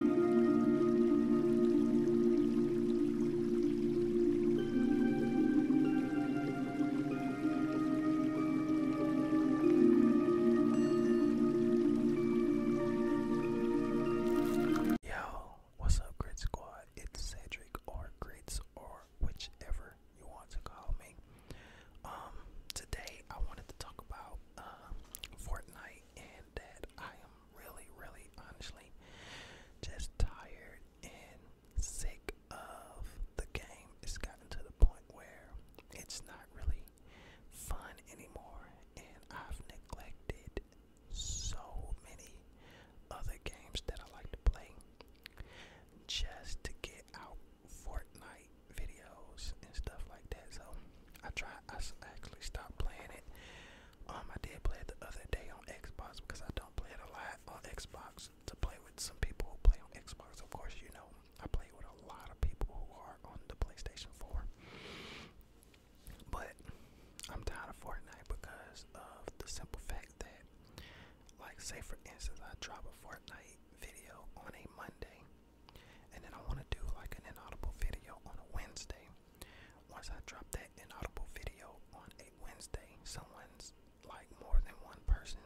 Yo, what's up, Grit Squad? It's Cedric or Grits or whichever you want to call me. Um, today I wanted to talk about uh, Fortnite and that I am really, really honestly just tired and sick of the game. It's gotten to the point where it's not really fun anymore, and I've neglected so many other games that I like to play just to get out Fortnite videos and stuff like that. So I try. I actually stopped playing it. Um, I did play it the other day on Xbox because I don't play it a lot on Xbox to play with some people who play on Xbox. Of course, you know I play with a lot of people who are on the PlayStation 4. But I'm tired of Fortnite because of the simple fact that, like, say for instance, I drop a Fortnite video on a Monday. And then I want to do like an inaudible video on a Wednesday. Once I drop that inaudible video on a Wednesday, someone's like more than one person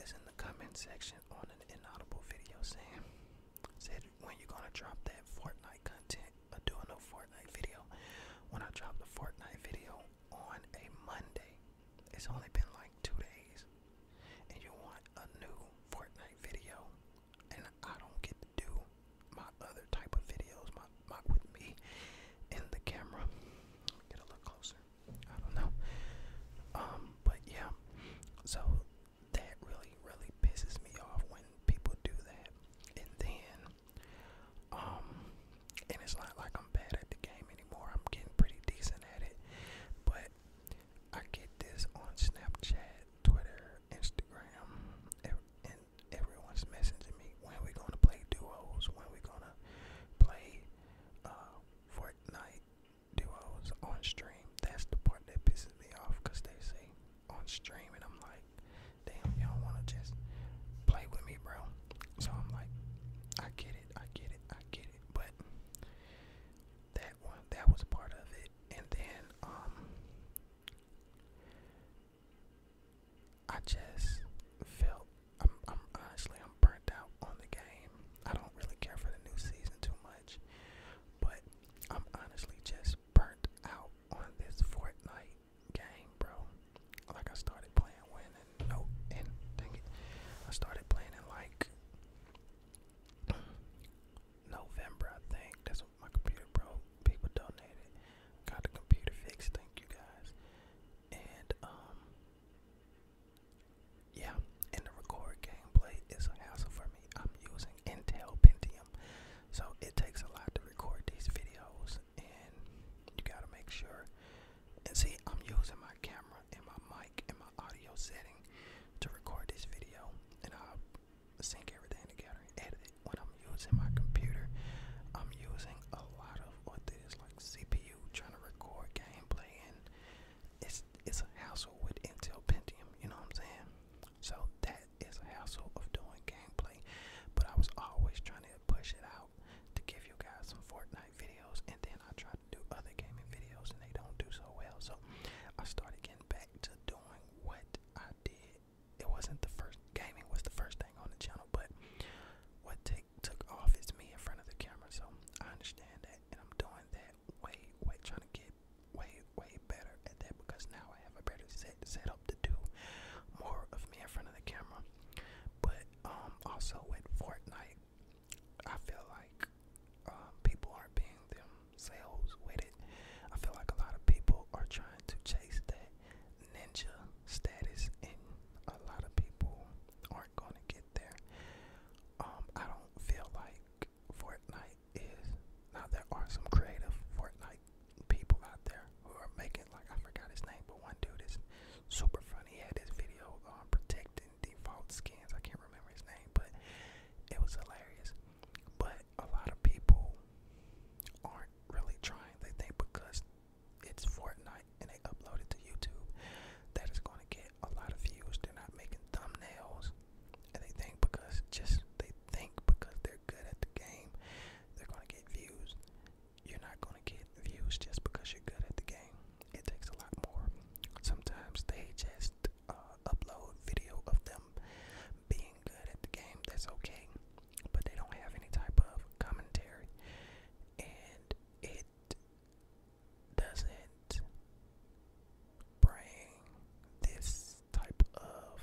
is in the comment section on an inaudible video saying, said when you're gonna drop that Fortnite content or uh, do a Fortnite video. When I drop the Fortnite video on a Monday, it's only been like two days, and you want a new Fortnite video and I don't get to do my other type of videos, my, my with me in the camera. Get a little closer. I don't know. Um, but yeah. So that really, really pisses me off when people do that. And then um and it's not like I'm bad at the game anymore. I'm getting pretty decent at it. But I get this on Snapchat Twitter, Instagram, and everyone's messaging me when we gonna play duos, when we gonna play uh, Fortnite duos on stream. That's the part that pisses me off because they say on stream, and I'm like, damn, y'all wanna just play with me, bro. So I'm like, I get it, I get it, I get it, but that one, that was part of it and then um, I just felt I'm, I'm honestly I'm burnt out on the game. I don't really care for the new season too much, but I'm honestly just burnt out on this Fortnite game, bro. Like I started playing when no and I started playing like November, I think. That's what my computer broke. People donated. Got the computer fixed. Thank you guys. And um, yeah. And the record gameplay is a hassle for me. I'm using Intel Pentium, so it takes a lot to record these videos, and you gotta make sure. And see, I'm using my camera and my mic and audio setting to record this video, and i sync everything together edit it. When I'm using my computer, I'm using a lot of what this like CPU trying to record gameplay, and it's it's a hassle with Intel Pentium. You know what I'm saying? So that is a hassle of doing gameplay, but I was always trying to push it out to give you guys some Fortnite videos, and then I try do other gaming videos and they don't do so well. So I started getting back to doing what I did. It wasn't the first gaming was the first thing on the channel, but what take took off is me in front of the camera. So I understand that and I'm doing that way, way trying to get way, way better at that because now I have a better set up to do more of me in front of the camera. But um also with Fortnite I feel like um, people aren't being themselves with it. I feel like a lot of people are trying to chase that ninja status, and a lot of people aren't going to get there. Um, I don't feel like Fortnite is. Now, there are some creative Fortnite people out there who are making, like, I forgot his name, but one dude is super funny. He had this video on um, protecting default skins. I can't remember his name, but it was hilarious. But a lot of people aren't really trying. They think because it's Fortnite and they uploaded it to YouTube that is going to get a lot of views. They're not making thumbnails, and they think because just they think because they're good at the game, they're going to get views. You're not going to get views just because you're good at the game. It takes a lot more. Sometimes they just uh, upload video of them being good at the game. That's okay, but they don't have any type of commentary, and it doesn't bring this type of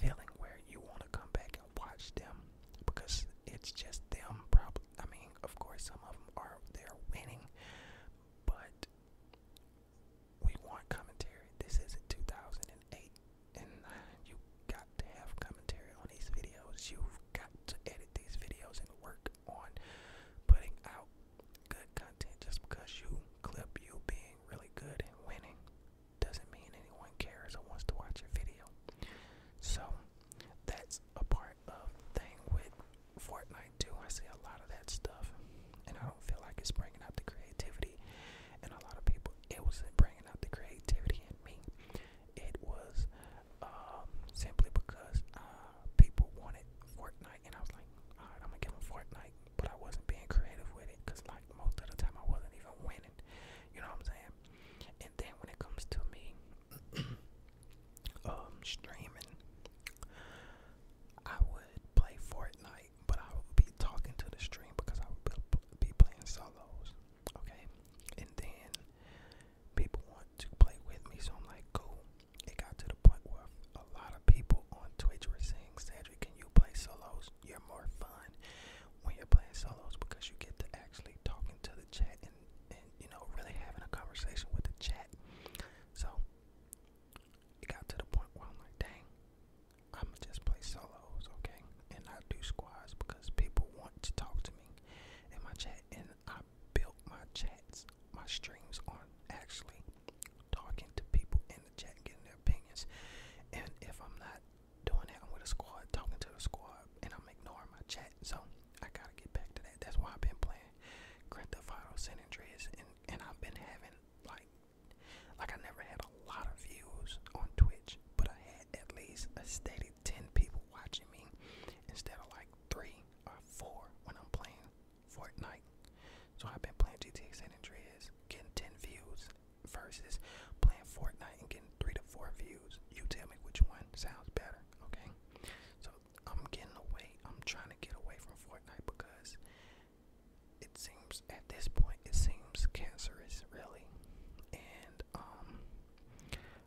feeling where you want to come back and watch them because it's just them. Probably, I mean, of course, some of them are they're winning, but we want commentary. This isn't 2008, and you got to have commentary on these videos. You've got to edit these videos and work on putting out good content. Just because you clip you being really good and winning doesn't mean anyone cares or wants to watch your video. So that's a part thing with Fortnite too. I see a lot of that stuff, and I don't feel like it's bringing out the creativity. And a lot of people, it wasn't bringing out the creativity in me. It was um, simply because uh, people wanted Fortnite, and I was like, all right, I'm gonna give them Fortnite. But I wasn't being creative with it, cause like most of the time I wasn't even winning. You know what I'm saying? And then when it comes to me um streaming, I would play Fortnite, but I would be talking to the stream because I would be playing solos. Okay, and then people want to play with me, so I'm like, cool. It got to the point where a lot of people on Twitch were saying, Cedric, can you play solos? You're more fun when you're playing solos because you get to actually talking to the chat and you know really having a conversation with the chat. So it got to the point where I'm like, dang, I'ma just play solos, okay, and I do squads because people want to talk to me in my chat, and I built my chats, my streams on actually talking to people in the chat, getting their opinions, and if I'm not doing that, I'm with a squad, talking to the squad, and I'm ignoring my chat. So I gotta get back to that. That's why I've been playing Grand Theft Auto San and I've been having like, like I never had a lot of views on Twitch, but I had at least a steady ten people watching me instead of like three or four when I'm playing Fortnite. So I've been playing GTA San Andreas, getting ten views versus playing Fortnite and getting three to four views. You tell me which one sounds better, okay? So I'm getting away. I'm trying to get away from Fortnite because it seems at this point it seems cancerous, really. And um,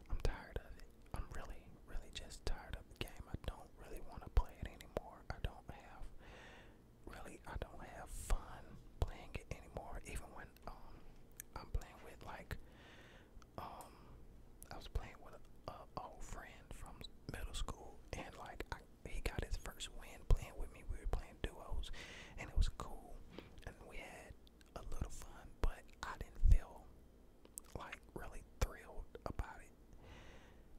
I'm tired of it. I'm really, really just tired of the game. I don't really want to play it anymore. I don't have really. I don't have fun playing it anymore. Even when um, I'm playing with like um, I was playing with a, old friend from middle school, and like I, he got his first win playing with me. We were playing duos, and it was cool, and we had a little fun. But I didn't feel like really thrilled about it,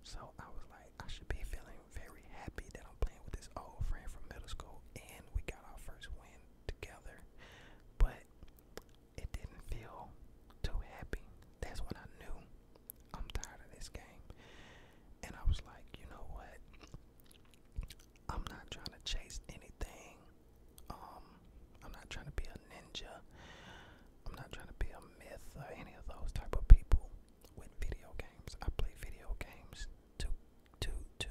so I was like, I should be feeling very happy that I'm playing with this old friend from middle school, and we got our first win together. But it didn't feel too happy. That's when I knew I'm tired of this game. And I was like, you know what? I'm not trying to chase anything. Um, I'm not trying to be a ninja. I'm not trying to be a myth or any of those type of people with video games. I play video games to to to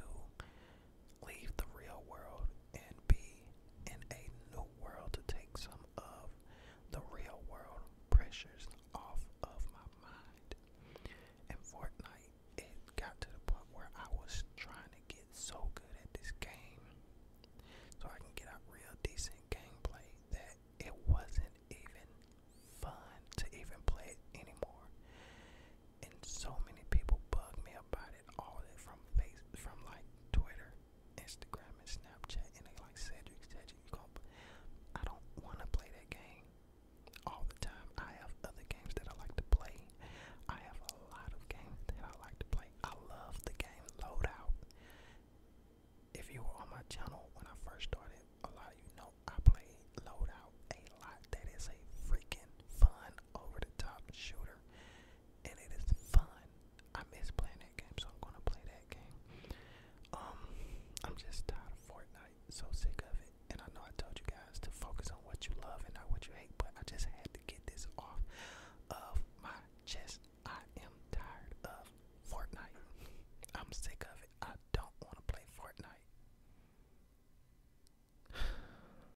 leave the real world and be in a new world to take some of the real world pressures off of my mind. And Fortnite, it got to the point where I was trying to get so good at this game so I can get a real decent gameplay that it wasn't even fun to even play anymore. And so many people bug me about it all the from face from like Twitter, Instagram, and Snapchat, and they like Cedric, Cedric. I don't want to play that game all the time. I have other games that I like to play. I have a lot of games that I like to play. I love the game Loadout. If you were on my channel when I first started, a lot of you know I play Loadout a lot. That is a freaking fun over the top shooter, and it is fun. I miss playing that game, so I'm gonna play that game. Um, I'm just tired of Fortnite, so sick of it. And I know I told you guys to focus on what you love and not what you hate, but I just had to get this off of my chest. I am tired of Fortnite. I'm sick of it. I don't want to play Fortnite.